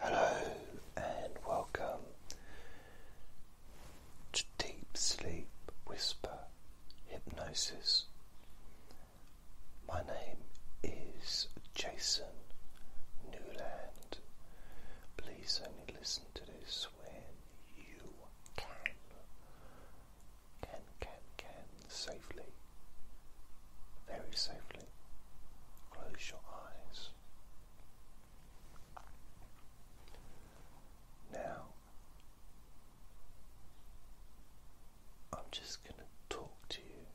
Hello and welcome to Deep Sleep Whisper Hypnosis. My name is Jason Newland. Please only listen to this when you can, can, can, can, safely, very safely. Close your eyes. Now, I'm just going to talk to you.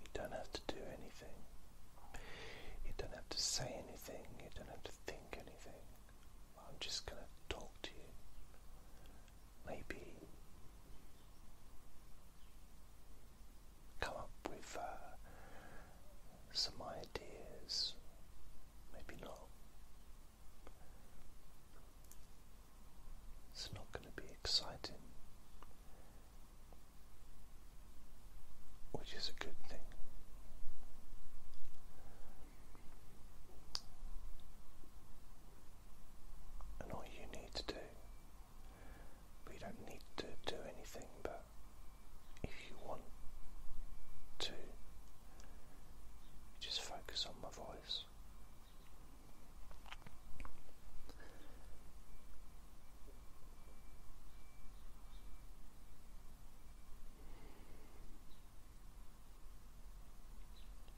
You don't have to do anything. You don't have to say anything. You don't have to think anything. I'm just going to talk to you. Maybe come up with uh, some ideas, maybe not. It's not going to be exciting. Which is a good thing. And all you need to do, we don't need to do anything, but if you want to, just focus on my voice.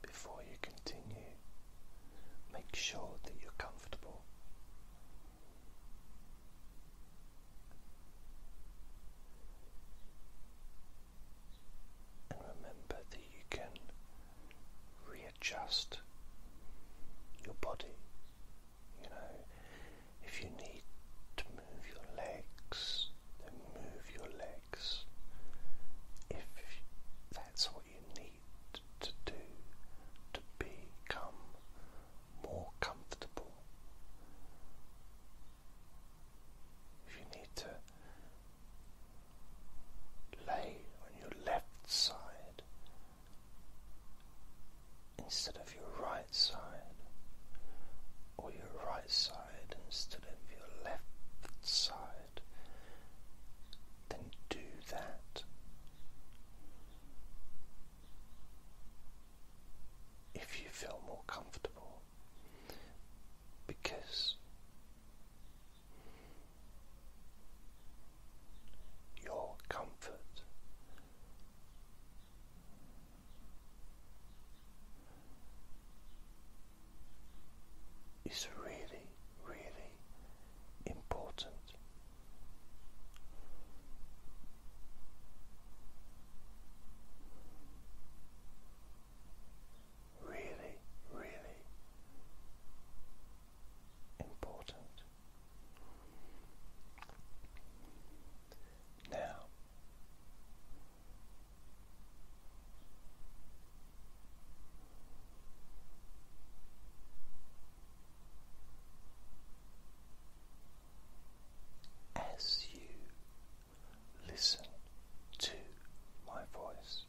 Before you continue, make sure that you're comfortable. And remember that you can readjust your body. You know, if you need to move your legs, then move your legs if that's what you need to do to become more comfortable. If you need to lay on your left side instead of your right side, or your right side instead of your left side, then do that. If you feel more comfortable, because your comfort it's really, really important. Really, really important now. As you listen to my voice,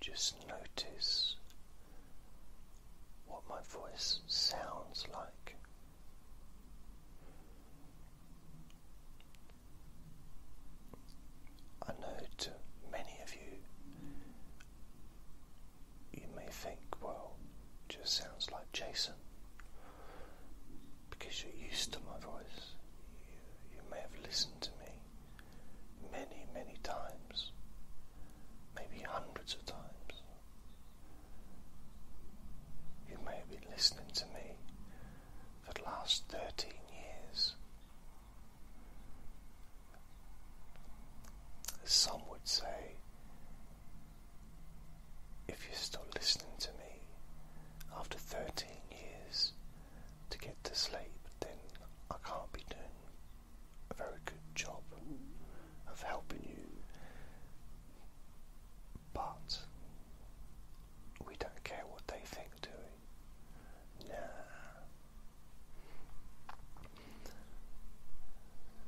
just notice what my voice sounds like. I know many of you, you may think, well, just sounds like Jason because you're used to my voice. you may have listened to me many, many times, maybe hundreds of times. You may be listening to me for the last 13 years. As some would say, if you're still listening to me after 13 years to get to sleep, then I can't be doing a very good job of helping you, but we don't care what they think, do we? Nah.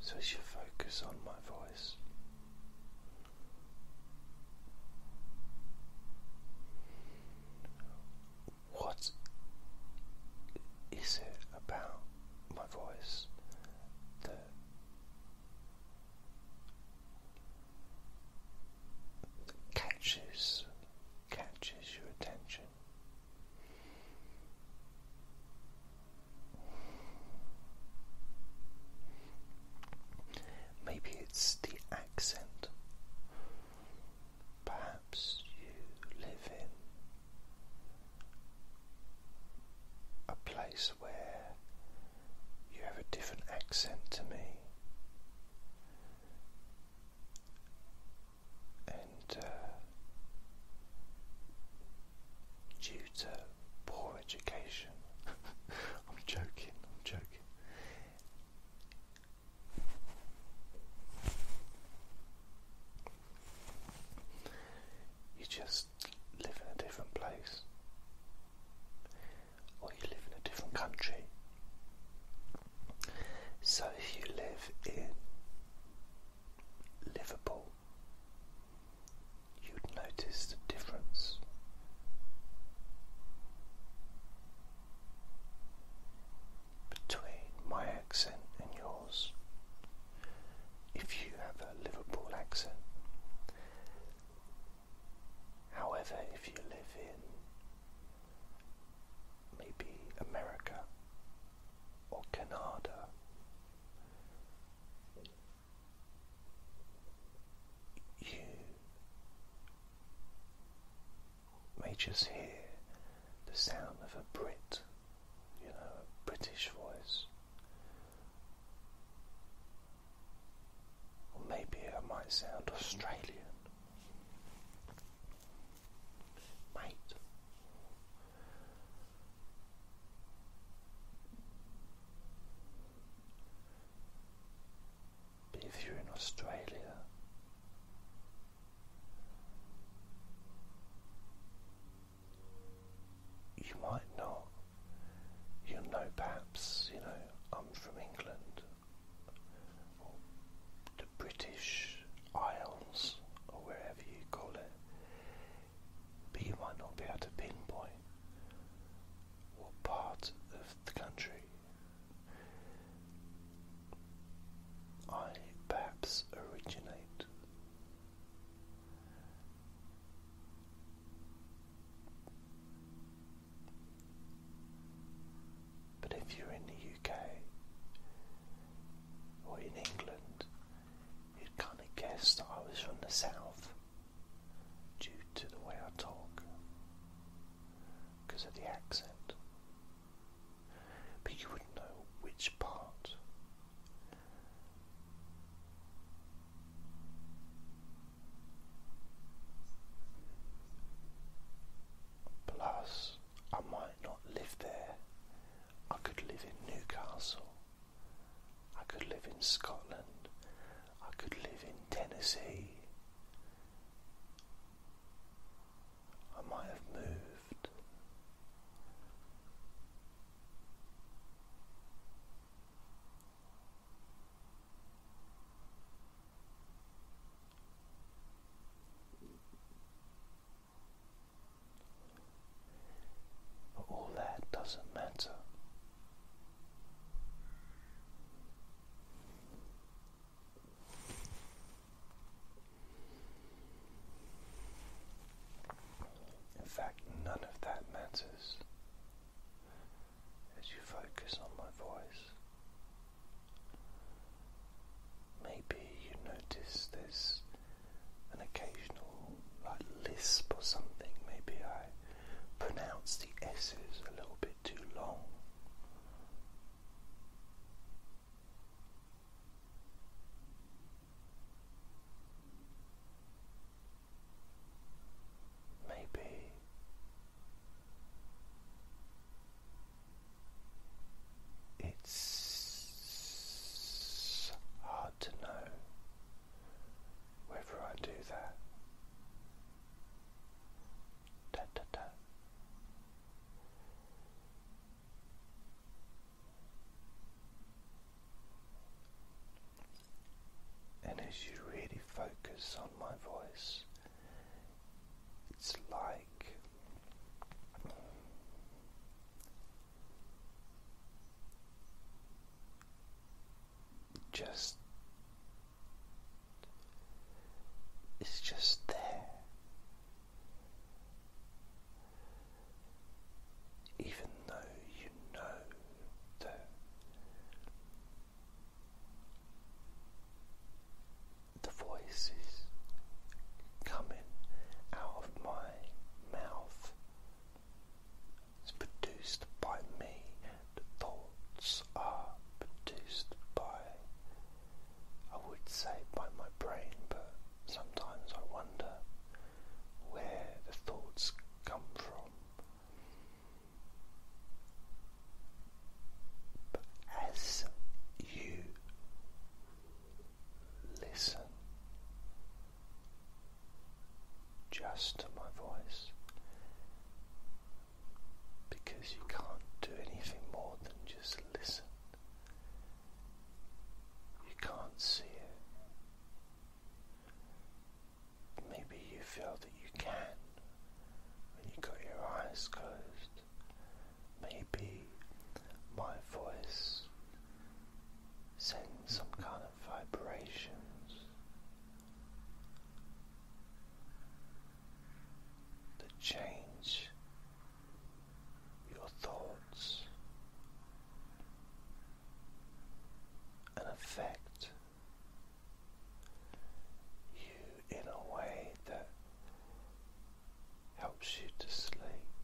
So as you focus on my voice, what is it about my voice that catches catches your attention. Maybe it's the accent. Perhaps you live in a place where you have a different accent to me. And uh, due to poor education, I'm joking, I'm joking. You just live in a different place, or you live in a different country. So if you live in Liverpool, you'd notice the difference. Between my accent and yours, if you have a Liverpool accent. However, if you live in maybe America or Canada, you may just hear the sound of a Brit you know, a British voice. Or maybe I might sound Australian. Mate. But if you're in Australia, you might not. you know perhaps, you know, I'm from England the British Isles or wherever you call it. But you might not be able to pinpoint what part of the country. I perhaps originate but if you're in the UK or in England, you'd kind of guess that I was from the south due to the way I talk because of the accent but you wouldn't know which part. Plus, I might not live there. I could live in Newcastle. I could live in Scotland. I could live in Tennessee. I might have moved. But all that doesn't matter. In fact, none of that matters as you focus on my voice. Maybe you notice there's an occasional like lisp or something. Maybe I pronounce the S's a little bit too long. Maybe it's hard to know whether I do that. Da, da, da. And as you really focus on my voice, it's like just it's just there even though you know that the voices coming out of my mouth is produced by me, the thoughts are produced by I would say by my brain, but sometimes I wonder where the thoughts come from. But as you listen just to my voice, because you can't do anything more than just listen. You can't see it. Maybe you feel that you can when you've got your eyes closed. Maybe my voice sends some kind of vibrations that change your thoughts and affect you in a way that helps you to sleep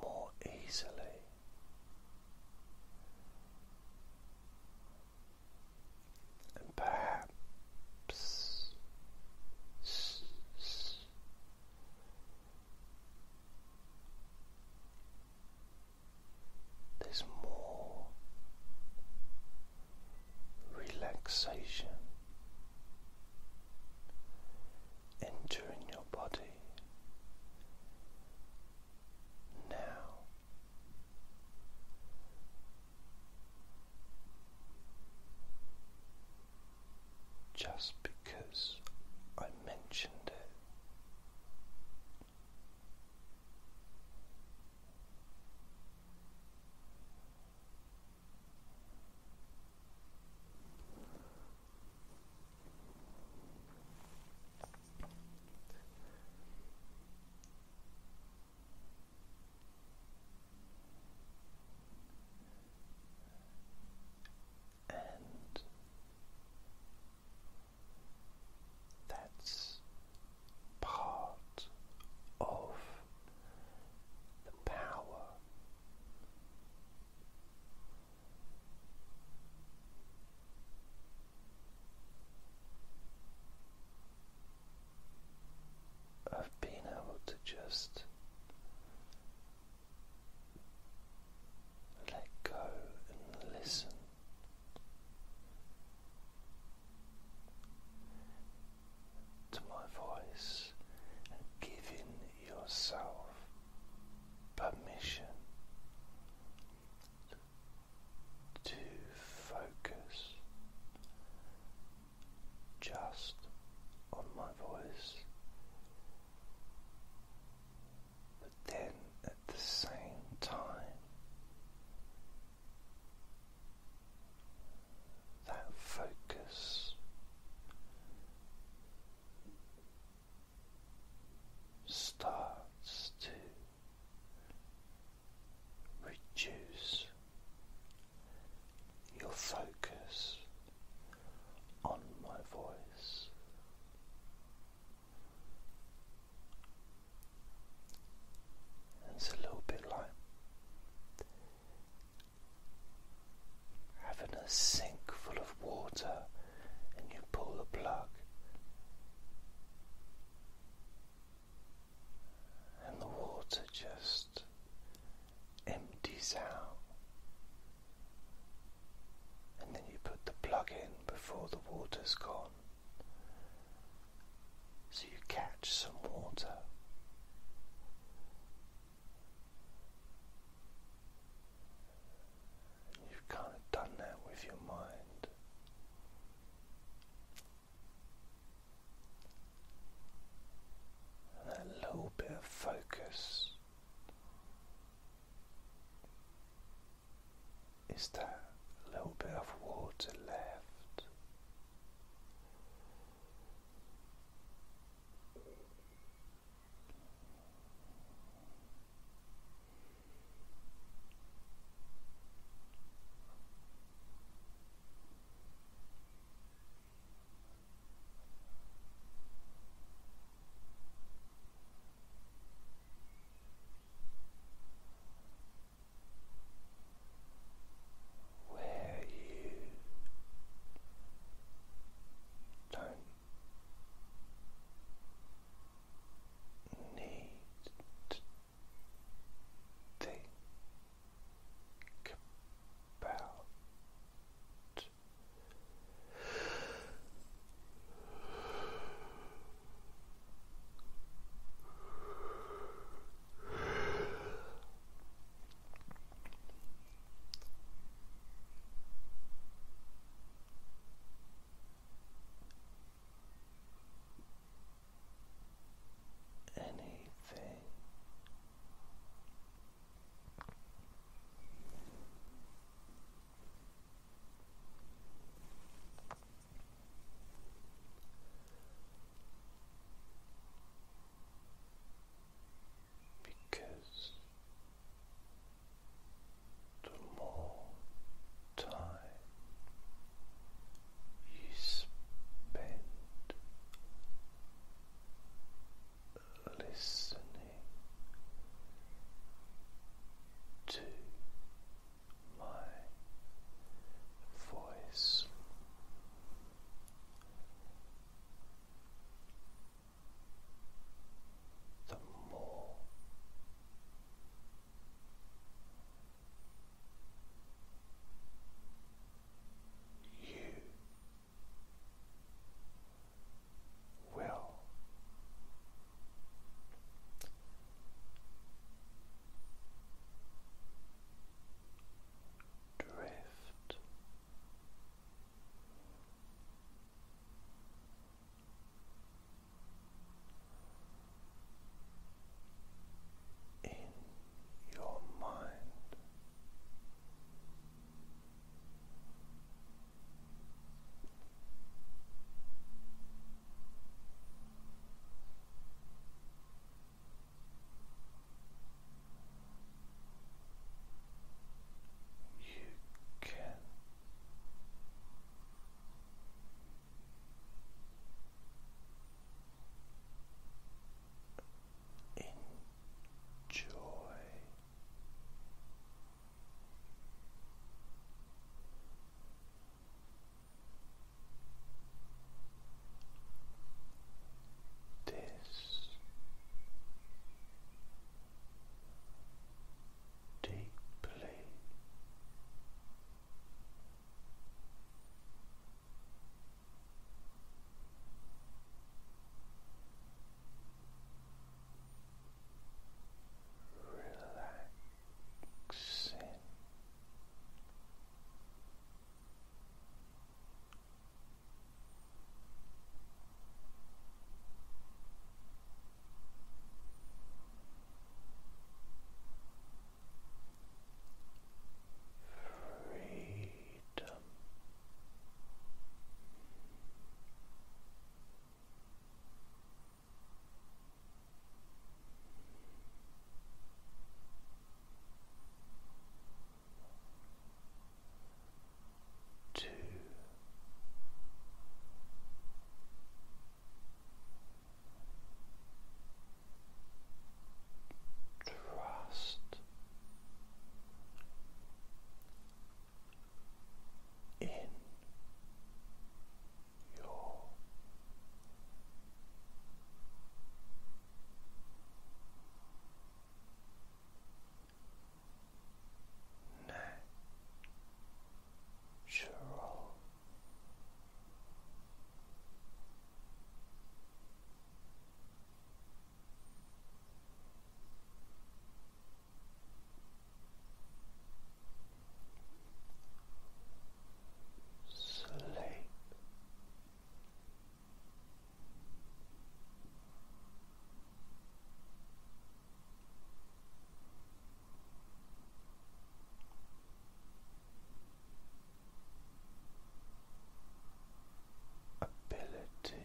more easily and perhaps there's more relaxation entering your body now. Just because I mentioned it and that's part of the power of being able to just let go and listen. To my voice and giving yourself permission to focus just on my voice, but then at the same time. That focus starts to reduce your focus on my voice. It's a little bit like having a sink full of water and you pull the plug and the water just empties out. And then you put the plug in before the water's gone. So you catch some water. you've kind of done that with your mind. And that little bit of focus is that little bit of water left. Where you don't need to think about anything because the more time you spend listening to my voice. The more you will drift in your mind. You can Enjoy this deeply. Relaxing freedom. Two Trust in your natural natural. Sleep ability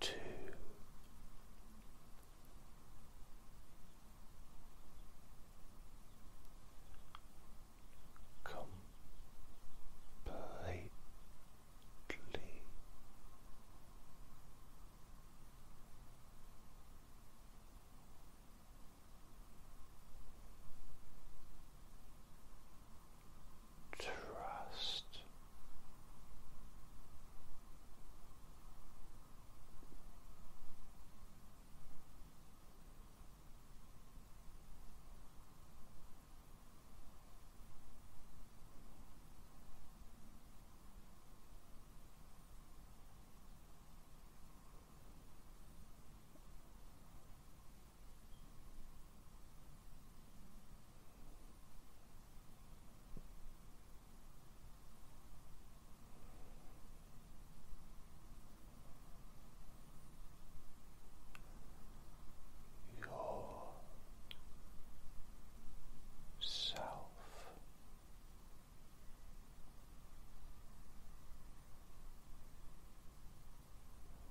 two, completely trust. Yourself. Your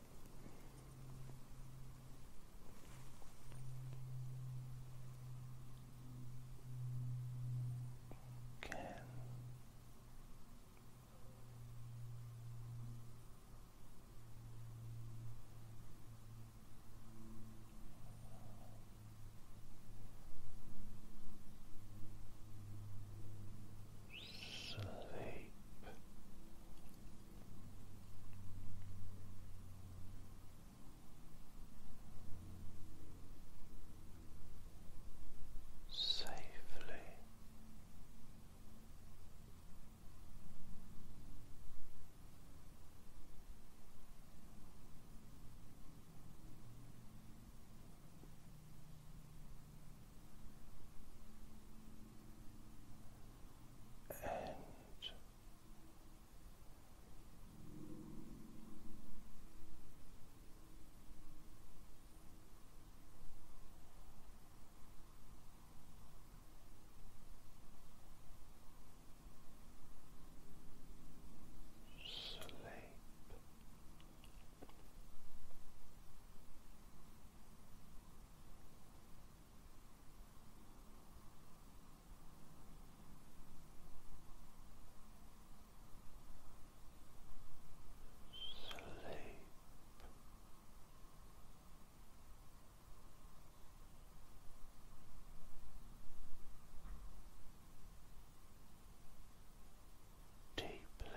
Can sleep safely and sleep. Sleep. Deeply